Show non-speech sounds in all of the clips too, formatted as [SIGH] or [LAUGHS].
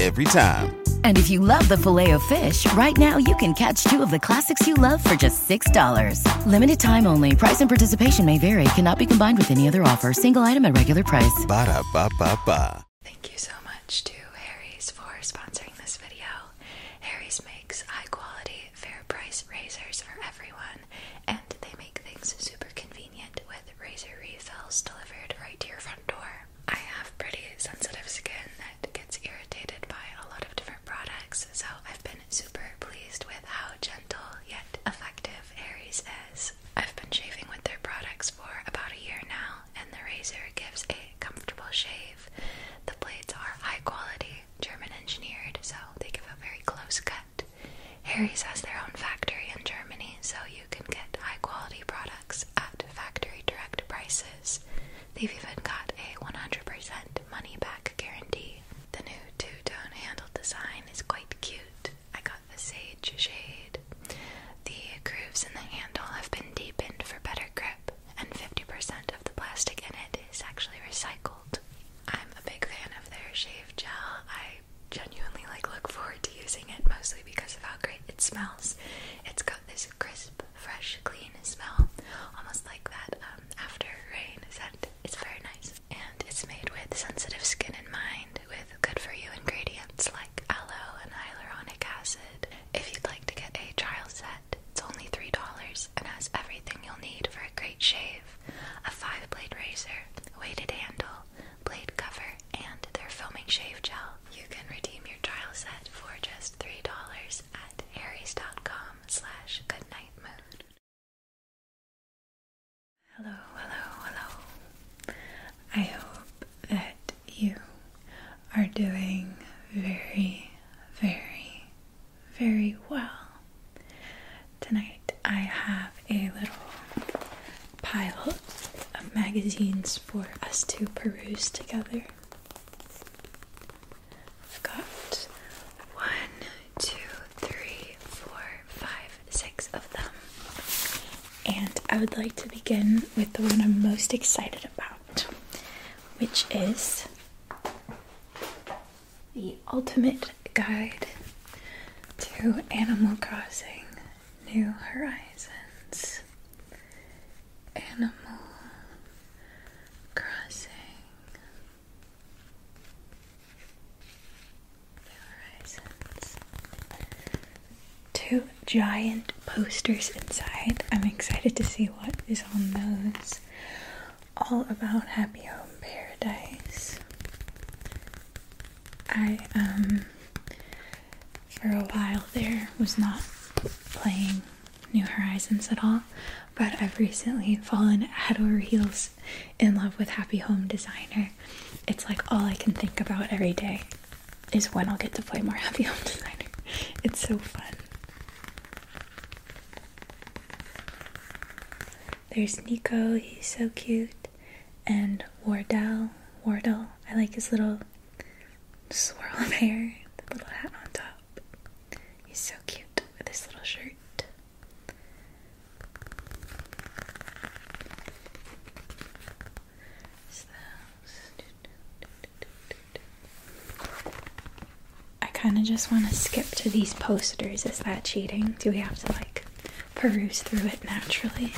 every time. And if you love the filet of fish, right now you can catch two of the classics you love for just $6. Limited time only. Price and participation may vary. Cannot be combined with any other offer. Single item at regular price. Ba da ba ba ba. Thank you so much to Harry's for sponsoring this video. Harry's makes high quality, fair price razors for everyone, and they make things super convenient with razor refills delivered right to your front door. I have pretty sensitive skin that gets irritated by a lot of different products, so I've been super pleased with how gentle yet effective Aries is. I've been shaving with their products for about a year now, and the razor gives a comfortable shave. The blades are high quality, German engineered, so they give a very close cut. Harry's has their own factory in Germany, so you can get high quality products at factory direct prices. They've even got a 100% money back guarantee. The new two tone handle design is quite cute. I got the sage shade. The grooves in the handle have been deepened for better grip, and 50% of the plastic in it is actually recycled. I'm a big fan of their shave gel. I genuinely like look forward to using it mostly because of how great it smells. It's got this crisp fresh, clean smell, almost like that um, after rain scent. It's very nice, and it's made with sensitive skin in mind, with good for you ingredients like aloe and hyaluronic acid. If you'd like to get a trial set, it's only three dollars and has everything you'll need for a great shave: a five-blade razor, weighted handle, blade cover, and their foaming shave gel. You can redeem your trial set for just $3 us at harrys.com slash Goodnight Mood. Hello, hello, hello. I hope that you are doing very, very, very well. Tonight I have a little pile of magazines for us to peruse together. I've got one, two, three, four, five, six of them. And I would like to begin with the one I'm most excited about, which is the Ultimate Guide to Animal Crossing New Horizons. Animal crossing the horizons. Two giant posters inside. I'm excited to see what is on those. All about Happy Home Paradise. I, um, for a while there was not playing New Horizons at all, but I've recently fallen head over heels in love with Happy Home Designer. It's like all I can think about every day is when I'll get to play more [LAUGHS] Happy Home Designer. It's so fun. There's Nico, he's so cute, and Wardell. Wardell. I like his little swirl of hair, the little hat on top. He's so cute with his little shirt. I kind of just want to skip to these posters. Is that cheating? Do we have to like peruse through it naturally?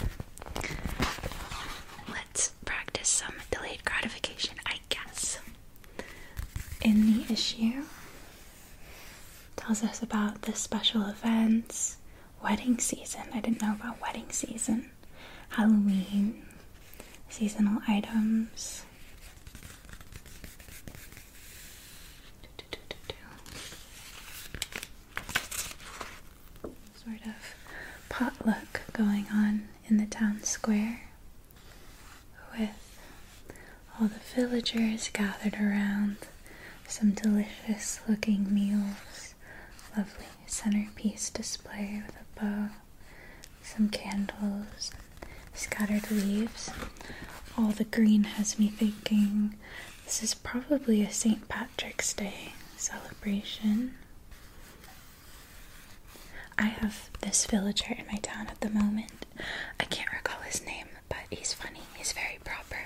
Let's practice some delayed gratification. I in the issue. Tells us about the special events, wedding season. I didn't know about wedding season, Halloween, seasonal items. Sort of potluck going on in the town square with all the villagers gathered around some delicious looking meals, lovely centerpiece display with a bow, some candles, scattered leaves. All the green has me thinking this is probably a St. Patrick's Day celebration. I have this villager in my town at the moment. I can't recall his name, but he's funny. He's very proper.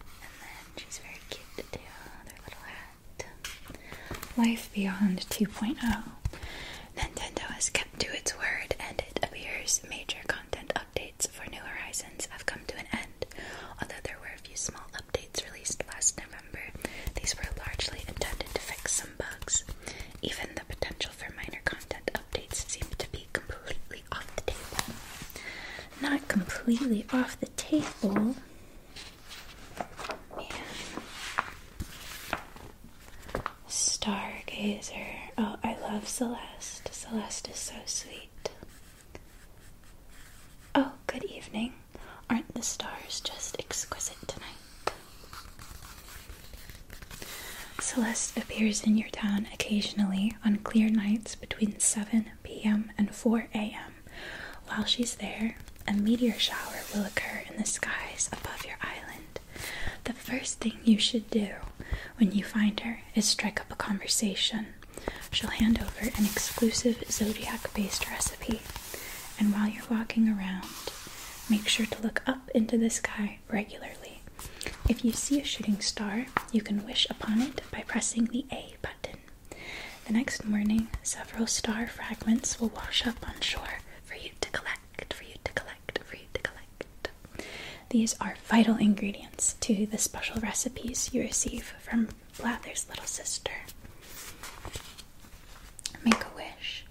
And then she's very cute too. Their little hat. Life Beyond 2.0. Nintendo has kept to its word, and it appears major content updates for New Horizons have come to an end, although there were a few small updates released last November these were largely intended to fix some bugs. Even the potential for minor content updates seemed to be completely off the table. Not completely off the table. Stargazer. Oh, I love Celeste. Celeste is so sweet. Oh, good evening. Aren't the stars just exquisite tonight? Celeste appears in your town occasionally on clear nights between 7 p.m. and 4 a.m. While she's there, a meteor shower will occur in the skies above your island. The first thing you should do when you find her is strike up a conversation. She'll hand over an exclusive zodiac based recipe and while you're walking around, make sure to look up into the sky regularly. If you see a shooting star, you can wish upon it by pressing the A button. The next morning, several star fragments will wash up on shore for you to collect, for you to collect, for you to collect. These are vital ingredients to the special recipes you receive from Flathers' little sister. Make a wish.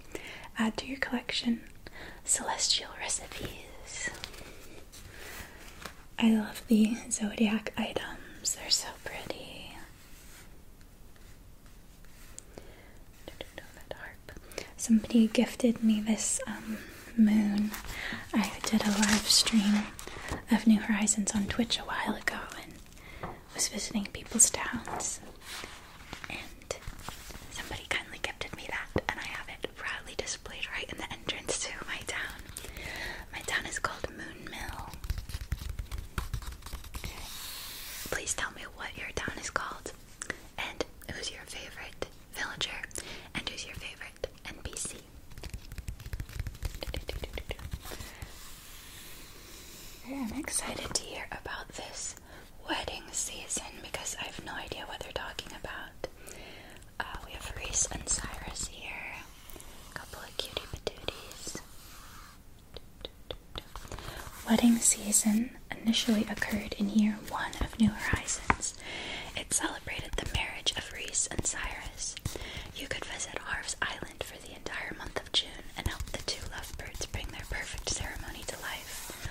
Add to your collection celestial recipes. I love the zodiac items, they're so pretty. That harp. Somebody gifted me this um, moon. I did a live stream of New Horizons on Twitch a while ago, and was visiting people's towns, and somebody kindly gifted me that, and I have it proudly displayed right in the entrance to my town. My town is called Moon Mill. Please tell me what your town is called, and who's your favorite villager, and who's your favorite NPC. I'm excited to hear about this wedding season because I have no idea what they're talking about. Uh, we have Reese and Cyrus here, a couple of cutie patooties. Wedding season initially occurred in year one of New Horizons. It celebrated the marriage of Reese and Cyrus. You could visit Harv's Island for the entire month June and help the two loved birds bring their perfect ceremony to life.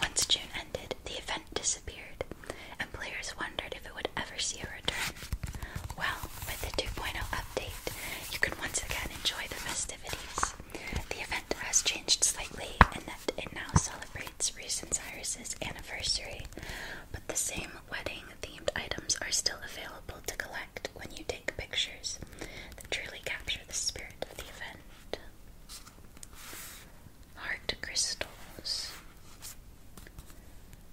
Once June ended, the event disappeared, and players wondered if it would ever see a return. Well, with the 2.0 update, you can once again enjoy the festivities. The event has changed slightly and that it now celebrates recent Cyrus's anniversary, but the same wedding themed items are still available to collect when you take pictures that truly capture the spirit Heart crystals.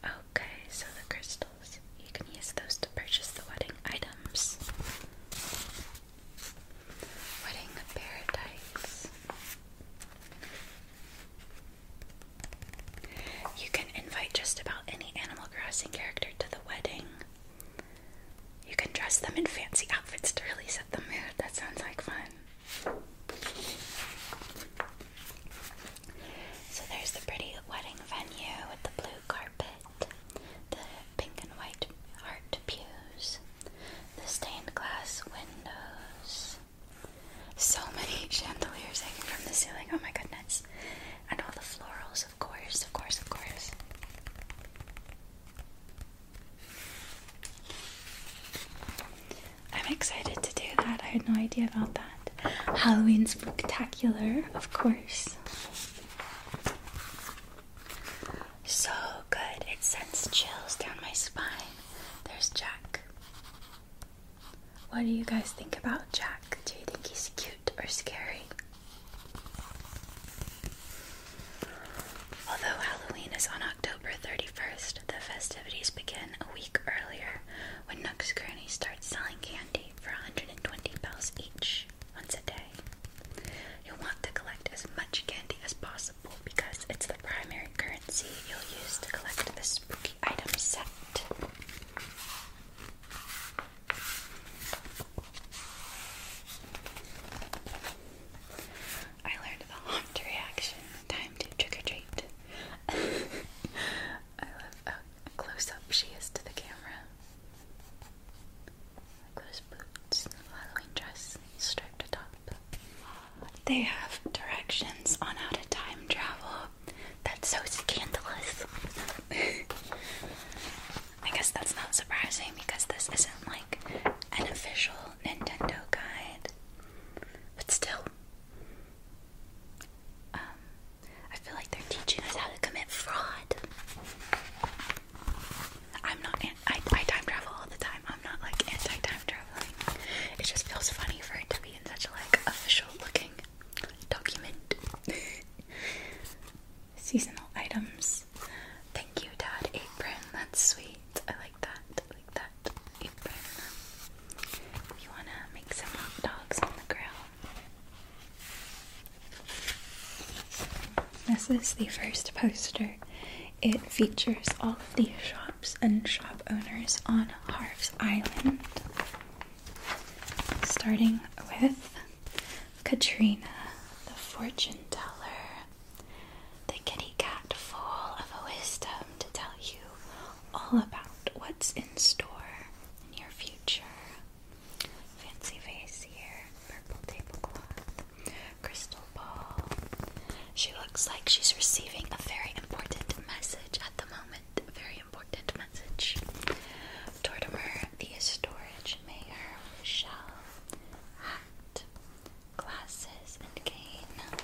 Okay, so the crystals. You can use those to purchase the wedding items. Wedding paradise. You can invite just about any Animal Crossing character to the wedding. You can dress them in fancy outfits to really set the mood. That sounds like fun. So there's the pretty wedding venue with the blue carpet, the pink and white heart pews, the stained glass windows. So many [LAUGHS] chandeliers hanging from the ceiling. Oh my goodness. And all the florals, of course, of course, of course. I'm excited to do that. I had no idea about that. Halloween spectacular, of course. So good. It sends chills down my spine. There's Jack. What do you guys think about Jack? Do you think he's cute or scary? Although Halloween is on October 31st, the festivities begin a week earlier when Nook's Granny starts selling candy for 120 bells each once a day. You'll want to collect as much candy as possible because it's the primary currency you'll use to collect the spooky item set. I learned the haunt reaction. Time to trick or treat. [LAUGHS] I love how close up she is to the camera. Like boots, Halloween dress, striped top. They have directions on how to time travel. That's so scandalous. [LAUGHS] I guess that's not surprising because this isn't like an official Nintendo guide. But still, um, I feel like they're teaching us how to commit fraud. I'm not. I, time travel all the time. I'm not like anti time traveling. It just feels funny for it to be in such a like official looking document. [LAUGHS] Seasonal items. Thank you, Dad. Apron. That's sweet. I like that. like that. Apron. You wanna make some hot dogs on the grill? This is the first poster. It features all of the shops and shop owners on Harves Island. Starting with Katrina, the fortune teller, the kitty cat full of wisdom to tell you all about what's in store in your future. Fancy vase here, purple tablecloth, crystal ball. She looks like she's receiving a very important message at the moment. A Very important message. Tortimer, the storage mayor, Michelle glasses, and cane.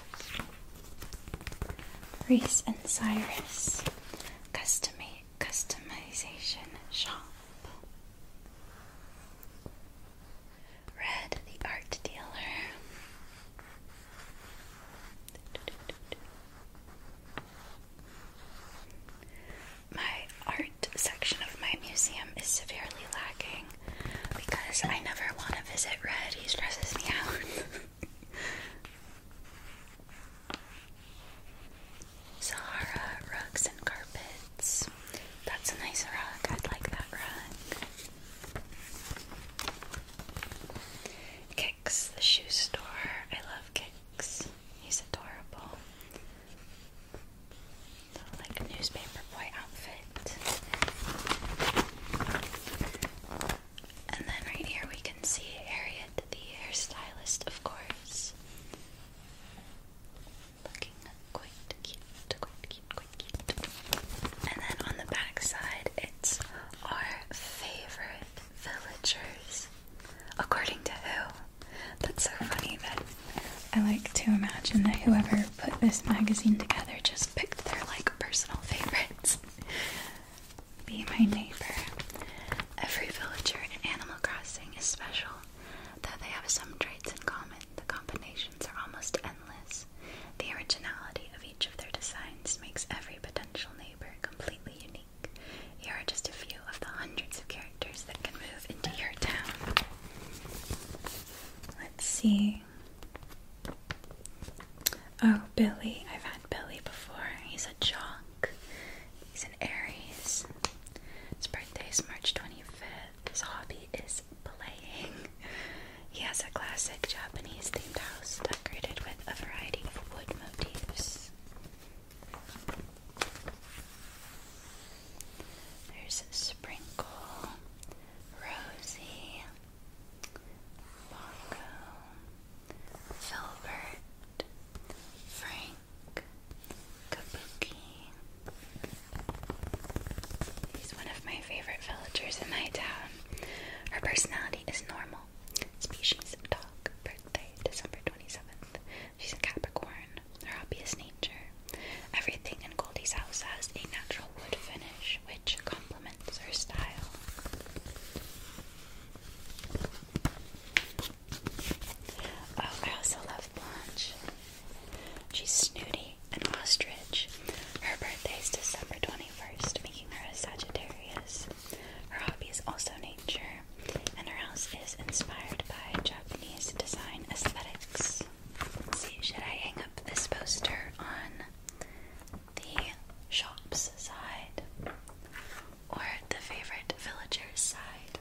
Reese and Cyrus Customa Customization Shop. Red, the art dealer my art section of my museum is severely lacking because I never want to visit Red. He stresses me out. [LAUGHS] Sahara rugs and carpets. That's a nice rug. I'd like that rug. Kicks, the shoe store. I love Kicks. He's adorable like a newspaper boy outfit. And then right here we can see Harriet, the hairstylist, of course. Looking quite cute, And then on the back side, it's our favorite villagers. According to who? That's so funny that I like to imagine that whoever put this magazine together just picked their like personal favorites. [LAUGHS] Be my neighbor. Every villager in Animal Crossing is special, though they have some traits in common. The combinations are almost endless. The originality of each of their designs makes every potential neighbor completely unique. Here are just a few of the hundreds of characters that can move into your town. Let's see. Oh, Billy. I've had Billy before. He's a jock. He's an Aries. His birthday is March 25th. His hobby is playing. He has a classic Japanese themed house decorated with a variety of wood motifs. There's Sprinkle, Rosie, Bongo, Filbert, Frank, Kabuki. He's one of my favorite villagers in my town. Her personality is normal. Species dog. Birthday December 27th. She's a Capricorn. Her hobby is nature. Everything in Goldie's house has a natural wood finish, which complements her style. Oh, I also love Blanche. She's snooty and ostrich. Her birthday is December 21st, making her a Sagittarius. Her hobby is also nature, and her house is inspired by Japanese design aesthetics should I hang up this poster on the shop's side or the favorite villager's side?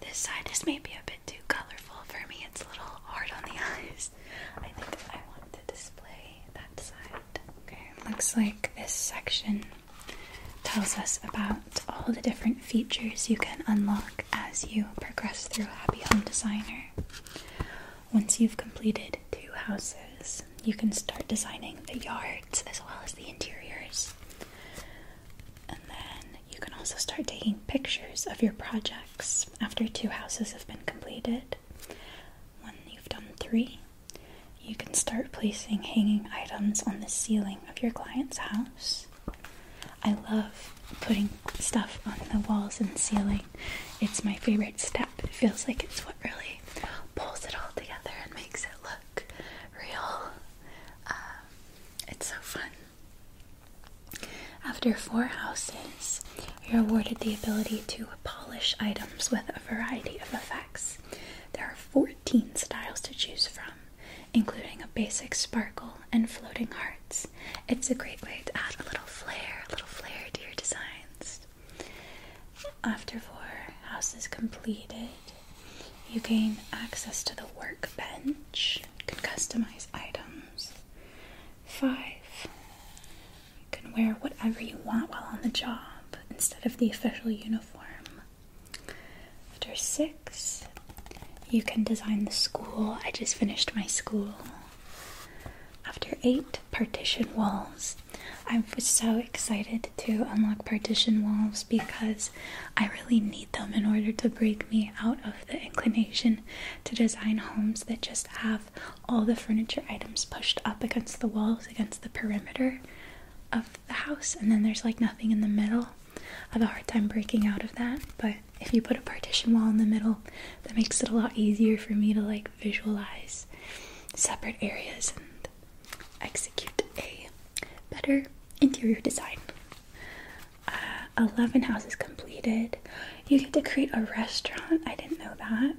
This side is maybe a bit too colorful for me. It's a little hard on the [LAUGHS] eyes. I think I want to display that side. Okay, looks like this section tells us about all the different features you can unlock as you progress through Happy Home Designer. Once you've completed two houses, you can start designing the yards as well as the interiors. And then you can also start taking pictures of your projects after two houses have been completed. When you've done three, you can start placing hanging items on the ceiling of your client's house. I love putting stuff on the walls and ceiling. It's my favorite step. It feels like it's what really pulls it all together and makes it look real. Um, it's so fun. After four houses, you're awarded the ability to polish items with a variety of effects. There are 14 styles to choose from, including a basic sparkle and floating hearts. It's a great way to add a little flair, a little flair to your designs. After four houses completed, you gain access to the workbench. You can customize items. Five, you can wear whatever you want while on the job instead of the official uniform. After six, you can design the school. I just finished my school. After eight partition walls. I am so excited to unlock partition walls because I really need them in order to break me out of the inclination to design homes that just have all the furniture items pushed up against the walls, against the perimeter of the house, and then there's like nothing in the middle. I have a hard time breaking out of that, but if you put a partition wall in the middle, that makes it a lot easier for me to like visualize separate areas and execute a better interior design. Uh, 11 houses completed. You get to create a restaurant. I didn't know that.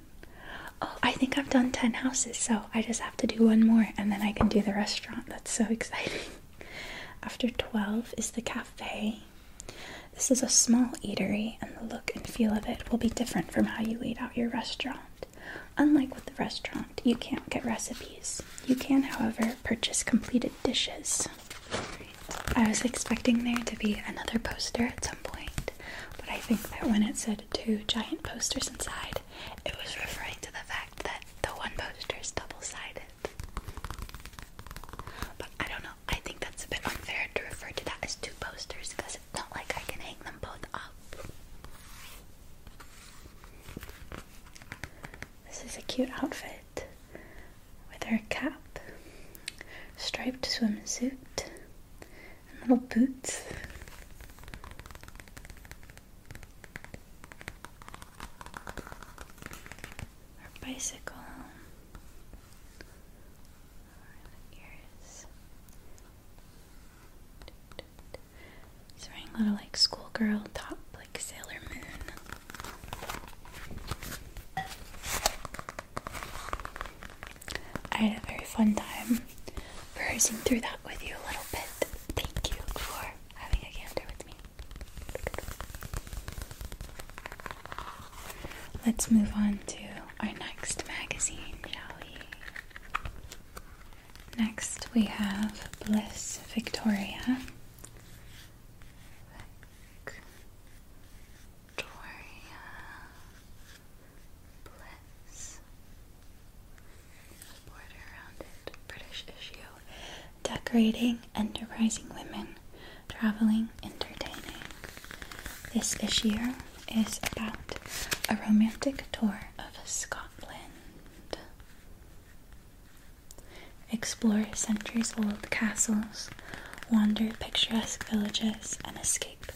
Oh, I think I've done 10 houses, so I just have to do one more and then I can do the restaurant. That's so [LAUGHS] exciting. After 12 is the cafe. This is a small eatery, and the look and feel of it will be different from how you laid out your restaurant. Unlike with the restaurant, you can't get recipes. You can, however, purchase completed dishes. I was expecting there to be another poster at some point, but I think that when it said two giant posters inside, it was referring to the fact that the one poster is double sided. But I don't know, I think that's a bit unfair to refer to that as two posters because it's not like I can hang them both up. This is a cute outfit with her cap, striped swimsuit, and little boots or bicycle or ears. It's wearing a little like schoolgirl top, like Sailor Moon. I had a very fun time browsing through that with you a little bit. Thank you for having a gander with me. Let's move on to our next magazine, shall we? Next, we have Bliss Victoria. Victoria Bliss. Border around it, British issue decorating, enterprising women, traveling, entertaining. This issue is about a romantic tour of Scotland. Explore centuries old castles, wander picturesque villages, and escape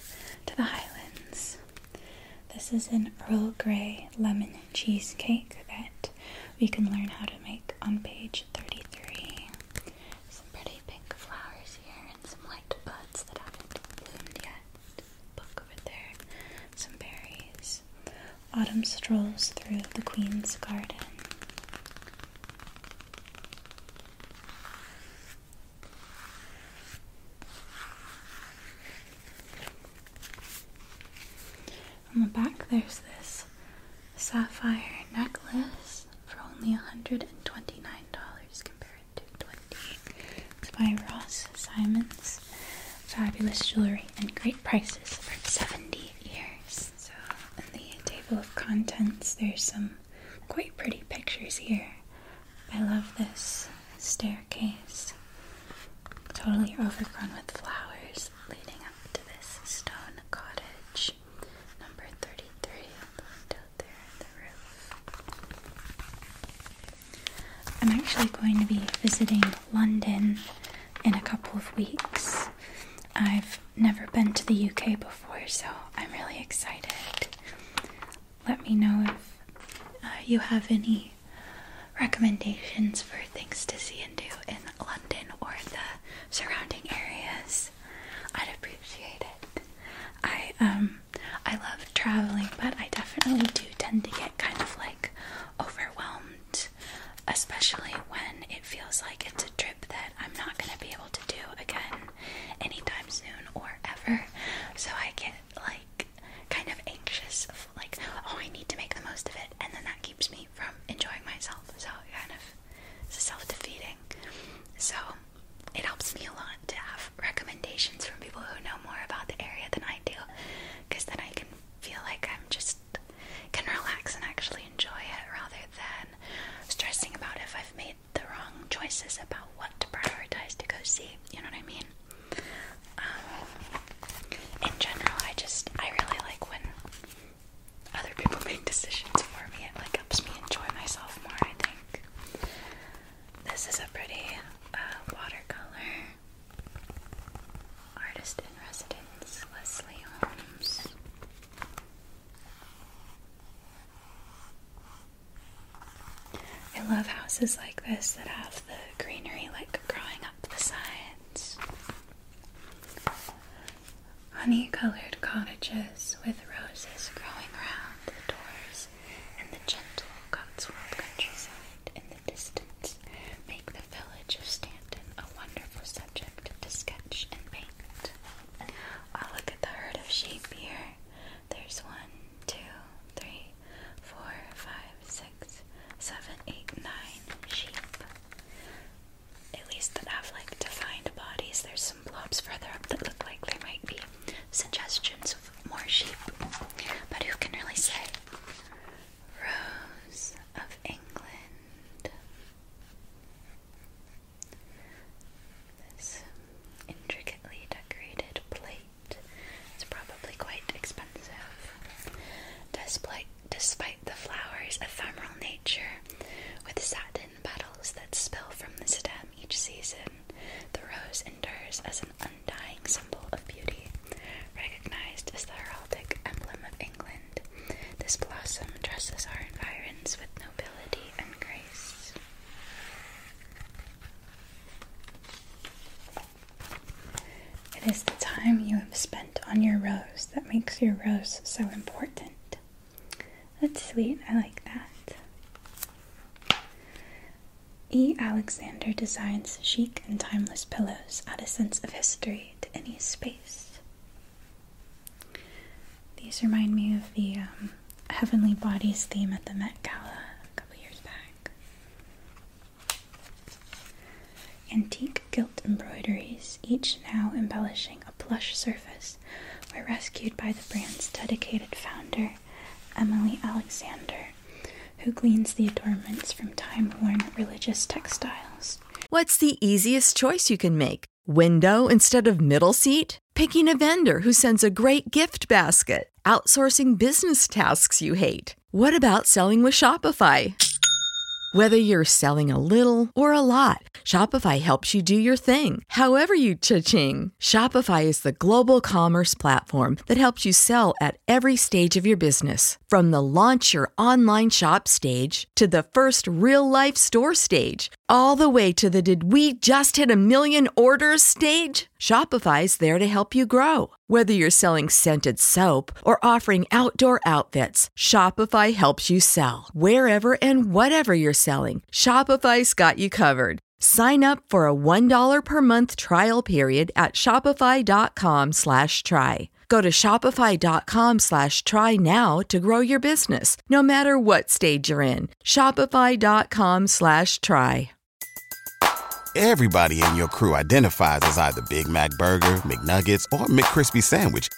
to the highlands. This is an Earl Grey lemon cheesecake that we can learn how to make on page 33. Some pretty pink flowers here and some light buds that haven't bloomed yet. Book over there. Some berries. Autumn strolls through the Queen's Garden. On the back, there's this sapphire necklace for only $129 compared to 20 It's by Ross Simons. Fabulous jewelry and great prices for 70 years. So, in the table of contents, there's some quite pretty pictures here. I love this staircase. Totally overgrown with flowers leading up to this stone cottage. Number 33, looked out there at the roof. I'm actually going to be visiting London in a couple of weeks. I've never been to the UK before, so I'm really excited. Let me know if uh, you have any recommendations for things to see and do in London or the surrounding areas. I'd appreciate it. I um I love traveling, but I definitely do tend to get kind of like overwhelmed, especially when it feels like it's a trip that I'm not going to be able to do again anytime soon or ever. So I get like kind of anxious of like, oh, I need to make the most of it, and then that keeps me from enjoying myself. So kind of it's self defeating. So it helps me a lot to have recommendations from people who know more about the area than I do because then I can feel like I'm just can relax and actually enjoy it rather than stressing about if I've made the wrong choices about what to prioritize to go see. You know what I mean? Um, in general, I just I really like when other people make decisions for me. It like helps me enjoy myself more, I think. This is a pretty uh, watercolor. Artist in residence, Leslie Holmes. I love houses like this that have the greenery like growing up the sides honey colored cottages with roses growing around the doors and the gentle Cotswold countryside in the distance make the village of Stanton a wonderful subject to sketch and paint. I'll ah, look at the herd of sheep here. There's one, two, three, four, five, six, seven, eight, nine sheep at least that have like defined bodies. There's some blobs further up that look like there might be suggestions of more sheep, but who can really say? Rose of England. This intricately decorated plate. It's probably quite expensive. Despite, despite the flower's ephemeral nature, with satin petals that spill from the stem each season, the rose endures as an undying symbol of beauty, recognized as the heraldic emblem of England. This blossom dresses our environs with nobility and grace. It is the time you have spent on your rose that makes your rose so important. That's sweet. I like that. E. Alexander designs chic and timeless pillows, add a sense of history to any space. These remind me of the um, Heavenly Bodies theme at the Met Gala a couple years back. Antique gilt embroideries, each now embellishing a plush surface Six were rescued by the brand's dedicated founder, Emily Alexander, who gleans the adornments from time worn religious textiles. What's the easiest choice you can make? Window instead of middle seat? Picking a vendor who sends a great gift basket? Outsourcing business tasks you hate? What about selling with Shopify? Whether you're selling a little or a lot, Shopify helps you do your thing, however you cha-ching. Shopify is the global commerce platform that helps you sell at every stage of your business. From the launch your online shop stage to the first real life store stage, all the way to the did we just hit a million orders stage? Shopify is there to help you grow. Whether you're selling scented soap or offering outdoor outfits, Shopify helps you sell. Wherever and whatever you're selling, Shopify's got you covered. Sign up for a $1 per month trial period at shopify.com slash try. Go to shopify.com slash try now to grow your business, no matter what stage you're in. Shopify.com slash try. Everybody in your crew identifies as either Big Mac Burger, McNuggets, or McCrispy Sandwich –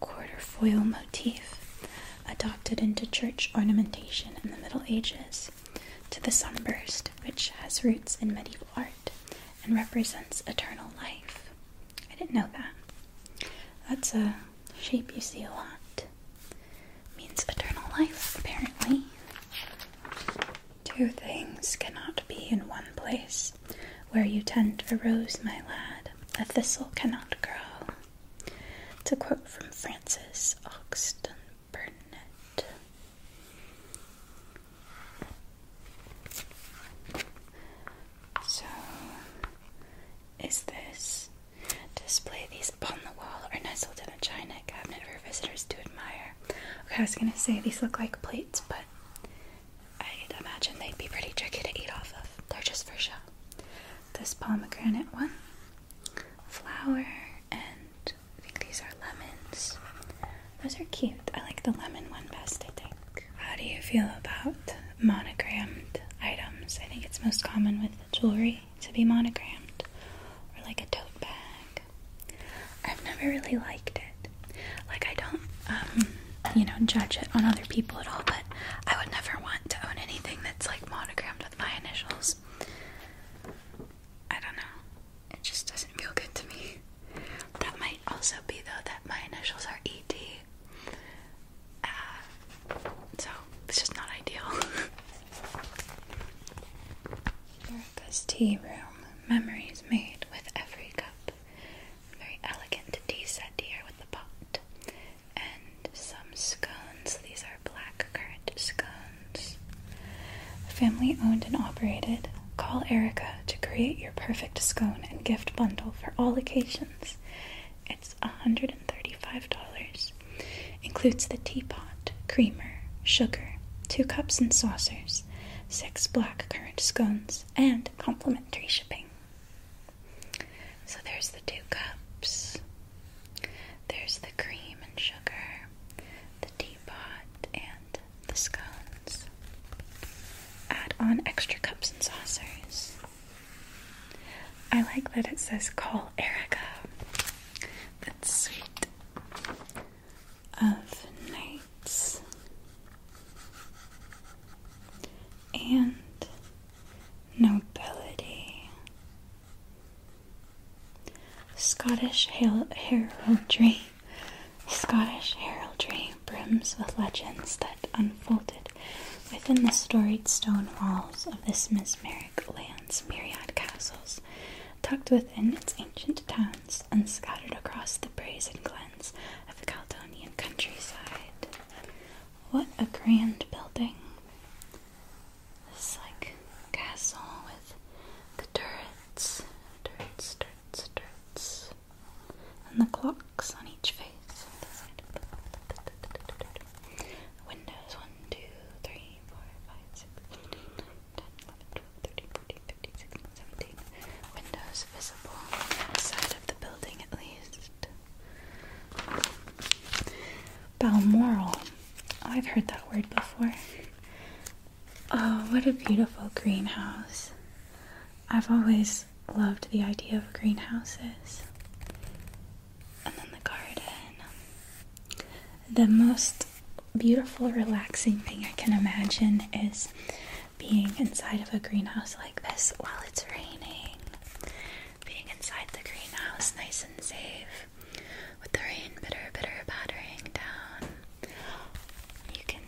quarterfoil motif adopted into church ornamentation in the Middle Ages to the sunburst, which has roots in medieval art and represents eternal life. I didn't know that. That's a shape you see a lot. Means eternal life, apparently. Two things cannot be in one place. Where you tend a rose, my lad, a thistle cannot grow. It's a quote from Francis Oxton Burnett. So, is this display these upon the wall or nestled in a china cabinet for visitors to admire? Okay, I was gonna say these look like plates, but i imagine they'd be pretty tricky to eat off of. They're just for show this pomegranate one, flower, and I think these are lemons. Those are cute. I like the lemon one best, I think. How do you feel about monogrammed items? I think it's most common with jewelry to be monogrammed or like a tote bag. I've never really liked it. Like, I don't, um, you know, judge it on other people at all. but. I would never want to own anything that's like monogrammed with my initials. I don't know. It just doesn't feel good to me. That might also be though that my initials are ED. Uh, so it's just not ideal. [LAUGHS] Erica's tea room. Memories made with every cup. Very elegant tea set here with the pot and some scones. These are black currant scones. Family owned and operated. Call Erica to create your perfect scone and gift bundle for all occasions. It's $135. Includes the teapot, creamer, sugar, two cups and saucers, six black currant scones, and complimentary shipping. So there's the two cups, there's the cream and sugar, the teapot, and the scones. Add on extra cups and saucers. I like that it says call Erica. That's sweet. Of nights. And nobility. Scottish heraldry. Scottish heraldry brims with legends that unfolded within the storied stone walls of this mesmeric land's myriad castles, tucked within its ancient towns and scattered across the brazen glens of the Caledonian countryside. What a grand building. This like castle with the turrets, turrets, turrets, turrets, and the clocks on each face. Windows 1, Windows visible outside of the building at least. Balmoral. I've heard that word before. Oh, what a beautiful greenhouse. I've always loved the idea of greenhouses. And then the garden. The most beautiful, relaxing thing I can imagine is being inside of a greenhouse like this while it's raining being inside the greenhouse, nice and safe, with the rain bitter, bitter pattering down. You can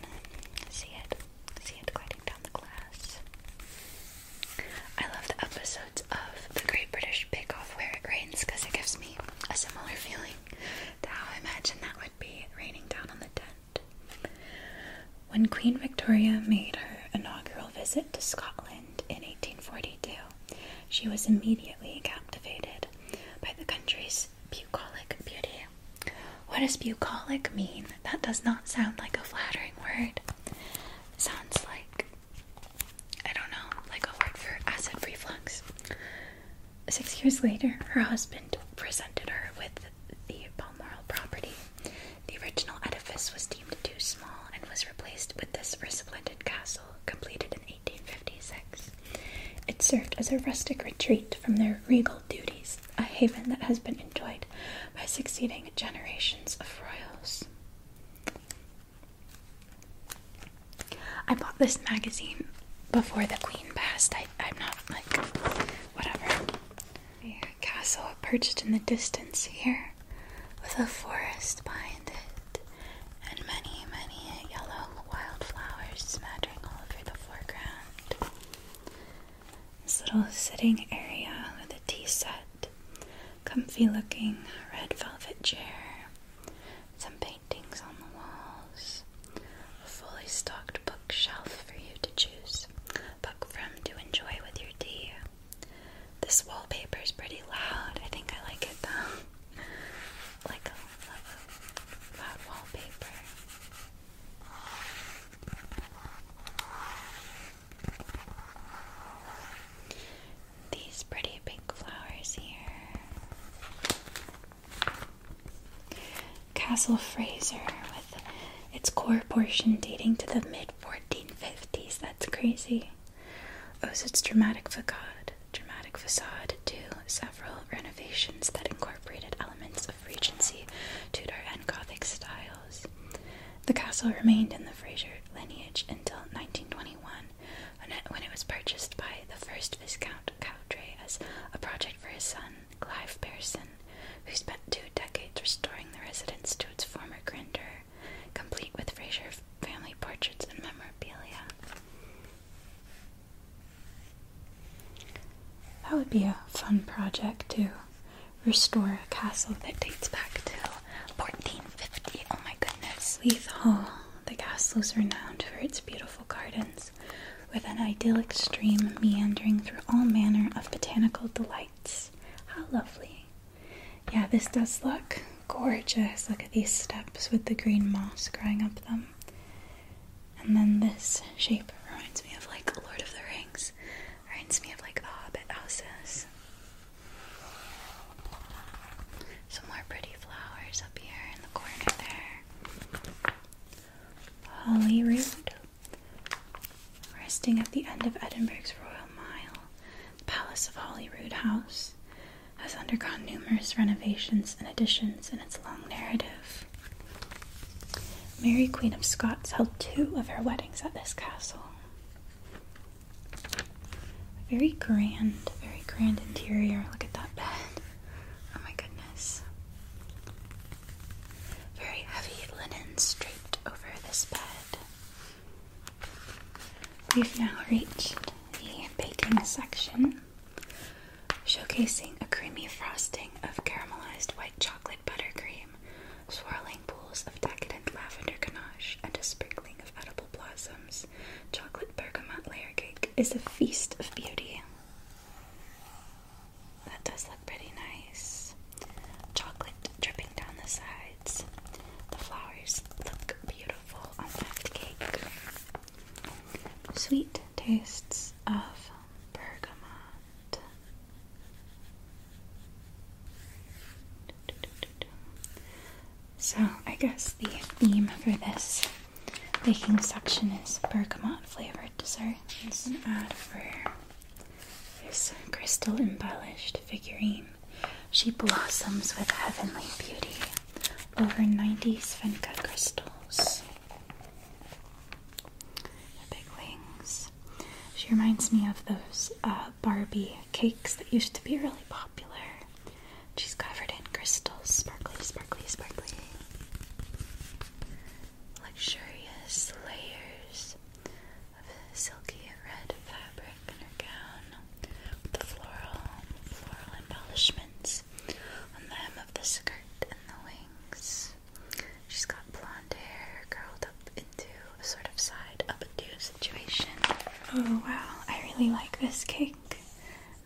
see it, see it gliding down the glass. I love the episodes of The Great British Bake Off where it rains because it gives me a similar feeling to imagine that would be raining down on the tent. When Queen Victoria made her inaugural visit to Scotland in 1842, she was immediately captivated by the country's bucolic beauty. What does bucolic mean? That does not sound like a flattering word. sounds like, I don't know, like a word for acid reflux. Six years later, her husband presented her with the Balmoral property the original edifice was deemed too small and was replaced with this resplendent castle, completed in 1856. It served as a rustic retreat from their regal duties, a haven that has been enjoyed by succeeding generations of royals. I bought this magazine before the Queen passed. I, am not like whatever. A castle perched in the distance here with a forest behind it and many, many yellow wildflowers smattering all over the foreground. This little sitting area with a tea set, comfy looking red velvet chair, some paintings on the walls, a fully stocked bookshelf for you to choose, book from to enjoy with your tea. This wallpaper is pretty loud. I think I like it though. [LAUGHS] like a loud, wallpaper. These pretty big flowers here. Castle Fraser with its core portion dating to the mid 1450s. That's crazy owes oh, its dramatic facade, dramatic facade to several renovations that incorporated elements of Regency, Tudor, and Gothic styles. The castle remained in the Fraser lineage until 1921, when it was purchased by the first Viscount Cowdray as a project for his son, Clive Pearson, who spent two decades restoring the residence to its former grandeur complete with Fraser family portraits and memorabilia. That would be a fun project to restore a castle that dates back to 1450. Oh my goodness. Leith Hall. The castle is renowned for its beautiful gardens, with an idyllic stream meandering through all manner of botanical delights. How lovely. Yeah, this does look gorgeous. Look at these steps with the green moss growing up them. And then this shape reminds me of like Lord of the Rings. Reminds me of like the Hobbit houses. Some more pretty flowers up here in the corner there. Hollyrood. Resting at the end of Edinburgh's Royal Mile the Palace of Holyrood House has undergone numerous renovations and additions in its long narrative. Mary, Queen of Scots, held two of her weddings at this castle. Very grand, very grand interior. Look at that bed. Oh my goodness. Very heavy linen draped over this bed. We've now reached the baking section, showcasing a creamy frosting of caramelized white chocolate buttercream, swirling pools of decadent lavender ganache, and a sprinkling of edible blossoms. Chocolate bergamot layer cake is a feast of beauty. That does look pretty nice. Chocolate dripping down the sides. The flowers look beautiful on that cake. Sweet tastes of bergamot. So, I guess the theme for this baking section is bergamot flavored desserts. It's an ad for this crystal embellished figurine. She blossoms with heavenly beauty over 90 Svenka crystals. The big wings. She reminds me of those uh, Barbie cakes that used to be really popular. She's covered in crystals, sparkly, sparkly, sparkly. Luxurious layers of silky red fabric gown with the floral, floral embellishments on the hem of the skirt and the wings. She's got blonde hair curled up into a sort of side up and down situation. Oh wow, I really like this cake.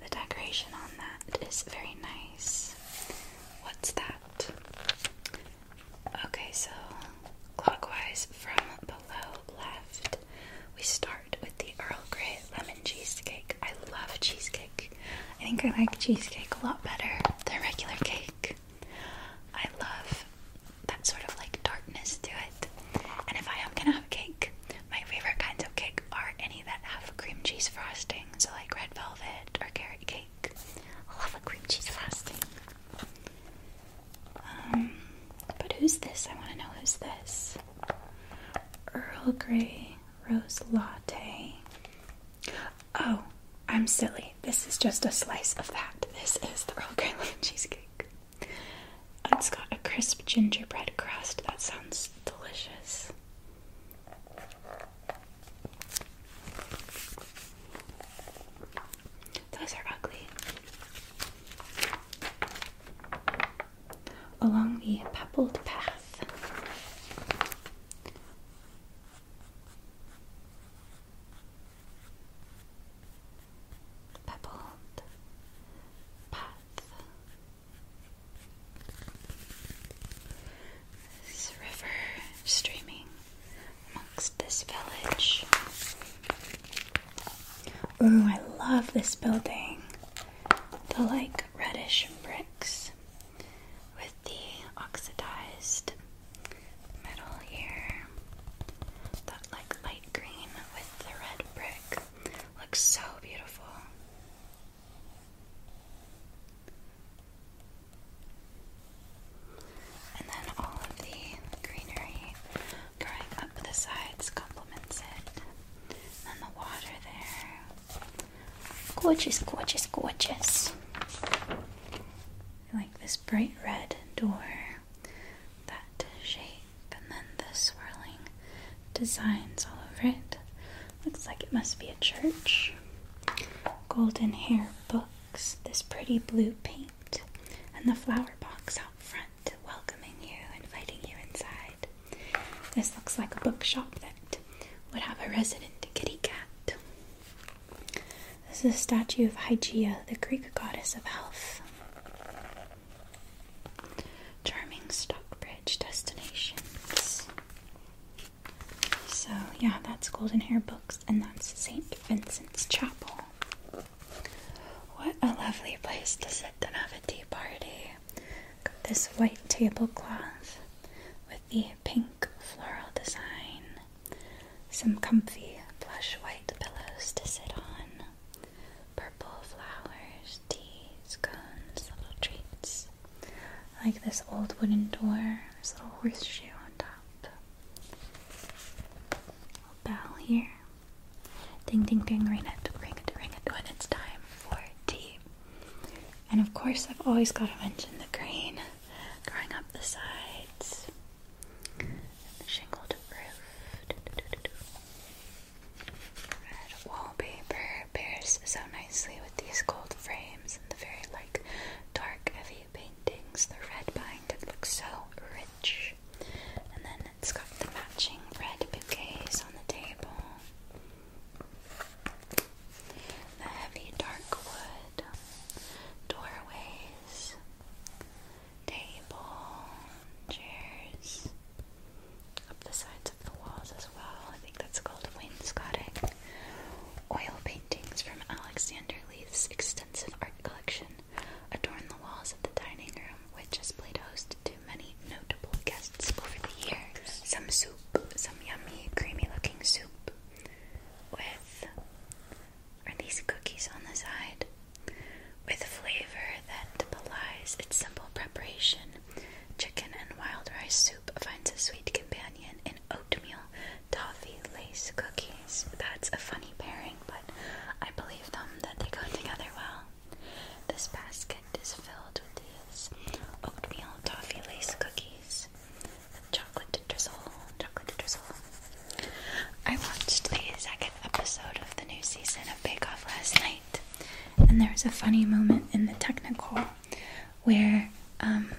The decoration on that is very nice. What's that? Okay, so clockwise from below left. We start with the Earl Grey lemon cheesecake. I love cheesecake. I think I like cheesecake a lot better than regular cake. I love that sort of like darkness to it. And if I am gonna have cake, my favorite kinds of cake are any that have cream cheese frosting, so like red velvet or carrot cake. I love a cream cheese frosting. Um, but who's this? I want to know who's this. Earl Grey Rose Latte. Oh, I'm silly. This is just a slice of that. This is the Earl Grey Lemon Cheesecake. It's got a crisp gingerbread crust. That sounds delicious. Those are ugly along the pebbled path. Pebbled path. This river streaming amongst this village. Ooh, I love this building. The like reddish bricks with the oxidized metal here. That like light green with the red brick looks so beautiful. And then all of the greenery Going up the sides complements it. And the water there. Gorgeous, gorgeous, gorgeous. I like this bright red door. That shape and then the swirling designs all over it. Looks like it must be a church. Golden hair books, this pretty blue paint, and the flower box out front welcoming you, inviting you inside. This looks like a bookshop that would have a resident kitty cat. This is a statue of Hygeia, the Greek goddess of health. Charming Stockbridge destinations. So, yeah, that's Golden Hair Books, and that's St. Vincent's Chapel. What a lovely place to sit and have a tea party. Got this white tablecloth with the pink floral design. Some comfy plush white pillows to sit on. Purple flowers, teas, cones, little treats. like this old wooden door. This little horseshoe on top. A bell here. Ding ding ding, ring it, ring it, ring it when it's time for tea. And of course, I've always got to mention the green growing up the sides and the shingled roof. Red wallpaper pairs so nicely with these gold frames and the very like dark, heavy paintings. The red pine that looks so rich. And then it's got the matching red bouquets on the table. The heavy dark wood doorways, table, chairs up the sides of the walls as well. I think that's called wainscoting. Oil paintings from Alexander Leith's extensive art collection adorn the walls of the dining room, which, as Plato's lost many notable guests over the years. Some soup, some yummy, creamy looking soup with, are these cookies on the side? With flavor that belies its simple preparation. Chicken and wild rice soup finds a sweet companion in oatmeal, toffee, lace cookies. That's a funny pairing, but I believe them that they go together well. This basket is filled with these oatmeal toffee lace cookies with chocolate drizzle, chocolate drizzle. I watched the second episode of the new season of Bake Off last night, and there was a funny moment in the technical where um,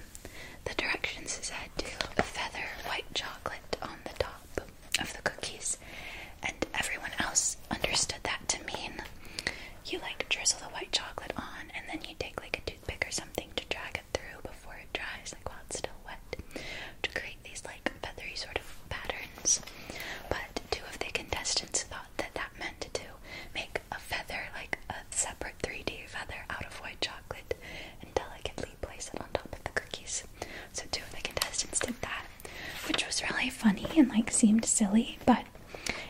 the directions said to feather white chocolate on the top of the cookies, and everyone else understood that to mean you like drizzle the white chocolate on, and then you take like a toothpick or something to drag it through before it dries, like while it's still wet, to create these like feathery sort of patterns. But two of the contestants thought that that meant to make a feather, like a separate 3D feather out of white chocolate, and delicately place it on top of the cookies. So, two of the contestants did that, which was really funny and like seemed silly. But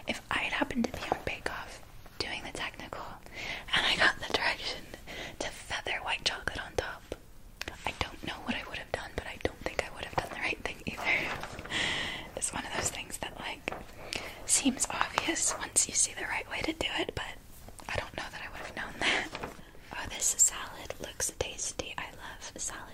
if I had happened to be on Bake Off doing the technical and I got the direction to feather white chocolate on top, I don't know what I would have done, but I don't think I would have done the right thing either. [LAUGHS] it's one of those things that like seems obvious once you see the right way to do it, but I don't know that I would have known that. Oh, this salad looks tasty. I love salad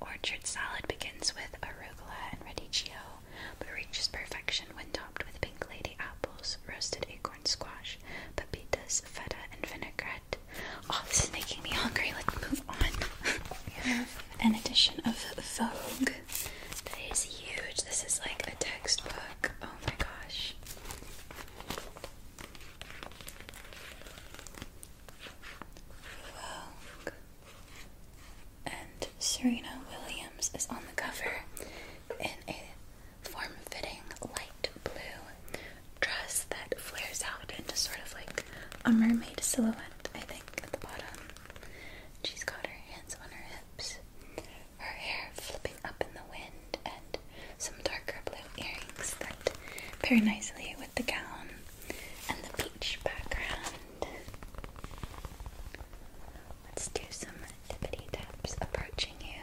Orchard salad begins with arugula and radicchio, but reaches perfection when topped with pink lady apples, roasted acorn squash, pepitas, feta, and vinaigrette. Oh, this is making me hungry. Let's move on. an edition of Vogue that is huge. This is like a textbook. Oh my gosh. And Serena Williams is on the cover in a form fitting light blue dress that flares out into sort of like a mermaid silhouette, I think, at the bottom. She's got her hands on her hips, her hair flipping up in the wind, and some darker blue earrings that pair nicely with the gown and the peach background. Let's do some tippity taps approaching you.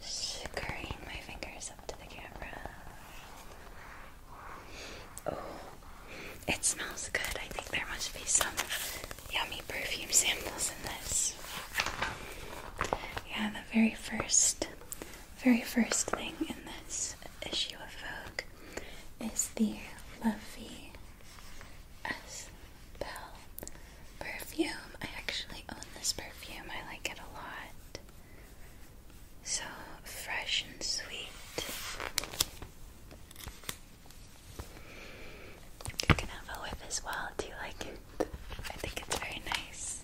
Scurrying my fingers up to the camera. Oh, it smells good. I think there must be some yummy perfume samples in this. Yeah, the very first, very first thing in this issue of Vogue is the Lovey S Bell perfume. I actually own this perfume. I like it a lot. So fresh and sweet. You can have a whiff as well. Do you like it? I think it's very nice.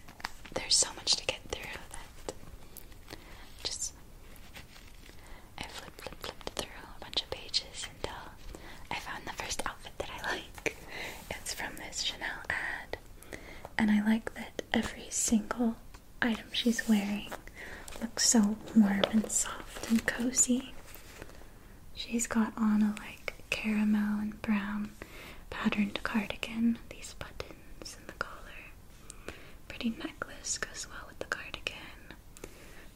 There's so much to get through that just I flip flip flipped through a bunch of pages until I found the first outfit that I [LAUGHS] like. It's from this Chanel ad. And I like that every single item she's wearing looks so warm and soft and cozy. She's got on a like caramel and brown patterned cardigan, these buttons in the collar. Pretty necklace goes well with the cardigan.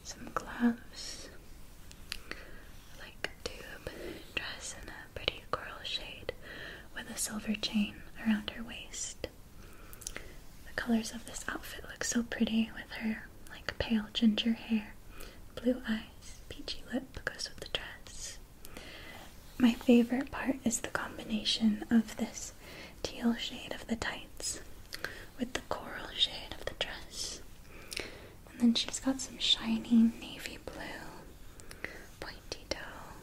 Some gloves, like tube dress in a pretty coral shade with a silver chain around her waist. The colors of this outfit look so pretty with her like pale ginger hair, blue eyes nice peachy lip goes with the dress. My favorite part is the combination of this teal shade of the tights with the coral shade of the dress. And then she's got some shiny navy blue pointy toe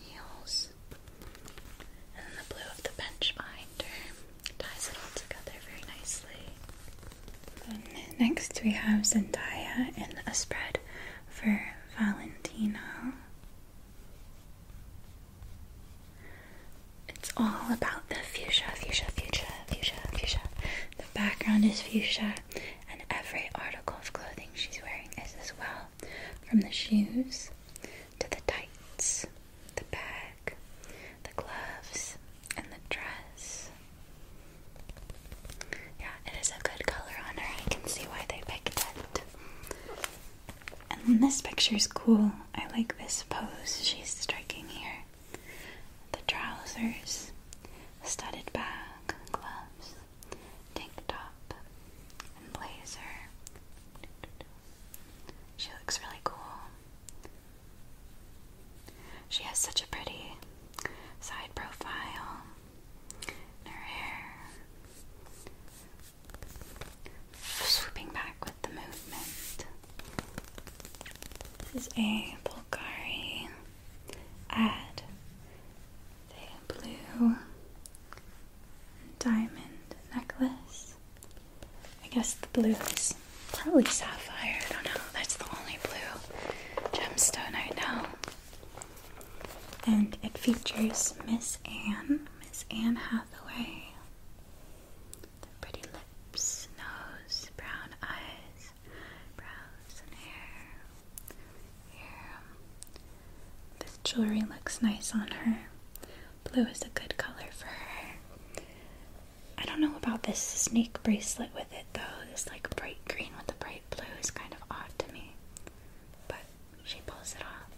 heels. And then the blue of the bench behind her ties it all together very nicely. Um, next, we have Zendaya in a spread for Valentino. It's all about the fuchsia, fuchsia, fuchsia, fuchsia, fuchsia. The background is fuchsia, and every article of clothing she's wearing is as well from the shoes to the tights, the bag, the gloves, and the dress. Yeah, it is a good color on her. I can see why they picked it. And this picture is cool. I like this pose she's striking here. The trousers, studded bag, gloves, tank top, and blazer. She looks really cool. She has such a pretty side profile in her hair, swooping back with the movement. This is a Bulgari ad. The blue diamond necklace. I guess the blue is probably sapphire. I don't know. That's the only blue gemstone I know. And it features Miss Anne, Miss Anne Hathaway. The pretty lips, nose, brown eyes, brows, and hair. This jewelry looks nice on her. Blue is a good color for her. I don't know about this snake bracelet with it it though. This like bright green with the bright blue is kind of odd to me. But she pulls it off.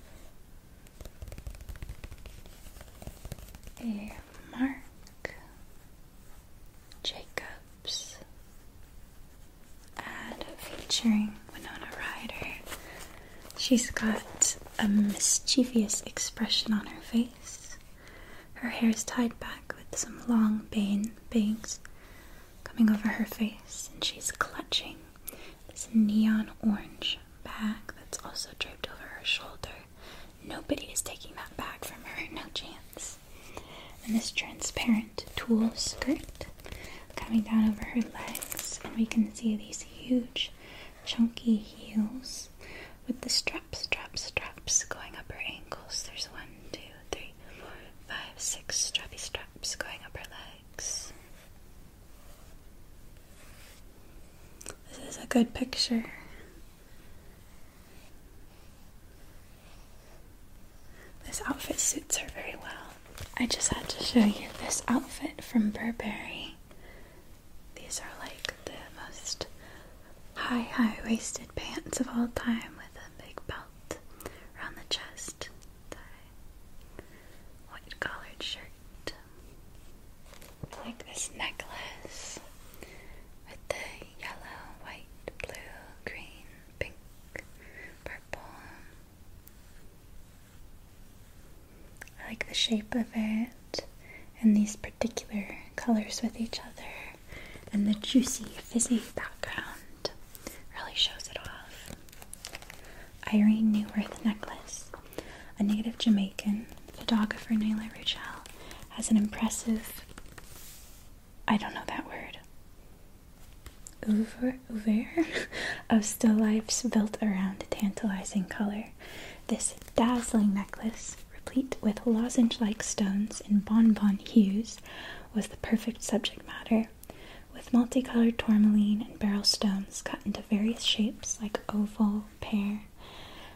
And Mark Jacobs ad featuring Winona Ryder. She's got a mischievous expression on her face. Her hair is tied back with some long bane bangs coming over her face, and she's clutching this neon orange bag that's also draped over her shoulder. Nobody is taking that bag from her, no chance. And this transparent tulle skirt coming down over her legs, and we can see these huge, chunky heels with the straps, straps, straps going up her ankles. There's one, two, three, four, five, six strappy straps going up her legs. This is a good picture. This outfit suits her very well. I just had to show you this outfit from Burberry. These are like the most high, high waisted pants of all time with a big belt around the chest, white collared shirt, like this necklace with the yellow, white, blue, green, pink, purple. I like the shape of it and these particular colors with each other and the juicy, fizzy background really shows it off. Irene Newworth necklace. A native Jamaican photographer, Naila Rachel, has an impressive, I don't know that word, oeuvre, oeuvre [LAUGHS] of still lifes built around tantalizing color. This dazzling necklace, replete with lozenge like stones in bonbon hues, was the perfect subject matter, with multicolored tourmaline and barrel stones cut into various shapes like oval, pear,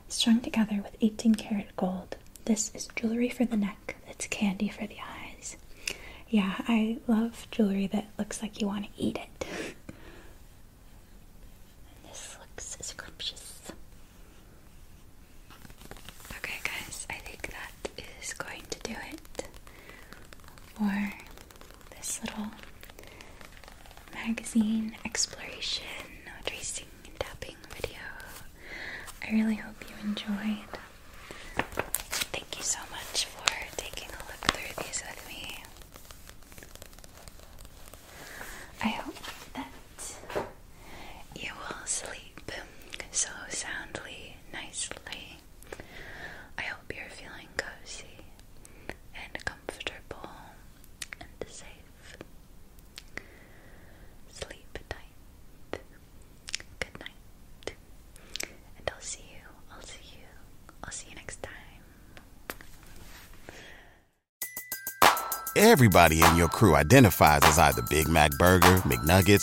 strung together with 18 karat gold. This is jewelry for the neck, It's candy for the eyes. Yeah, I love jewelry that looks like you want to eat it. [LAUGHS] this looks scrumptious. Okay, guys, I think that is going to do it for this little magazine exploration, tracing, and tapping video. I really hope you enjoyed. Thank you so much for taking a look through these with me. I hope that you will sleep so soundly, nicely. I hope you're feeling cozy and comfortable and safe. Sleep tight. Good night. And I'll see you, I'll see you, I'll see you next time. Everybody in your crew identifies as either Big Mac Burger, McNuggets,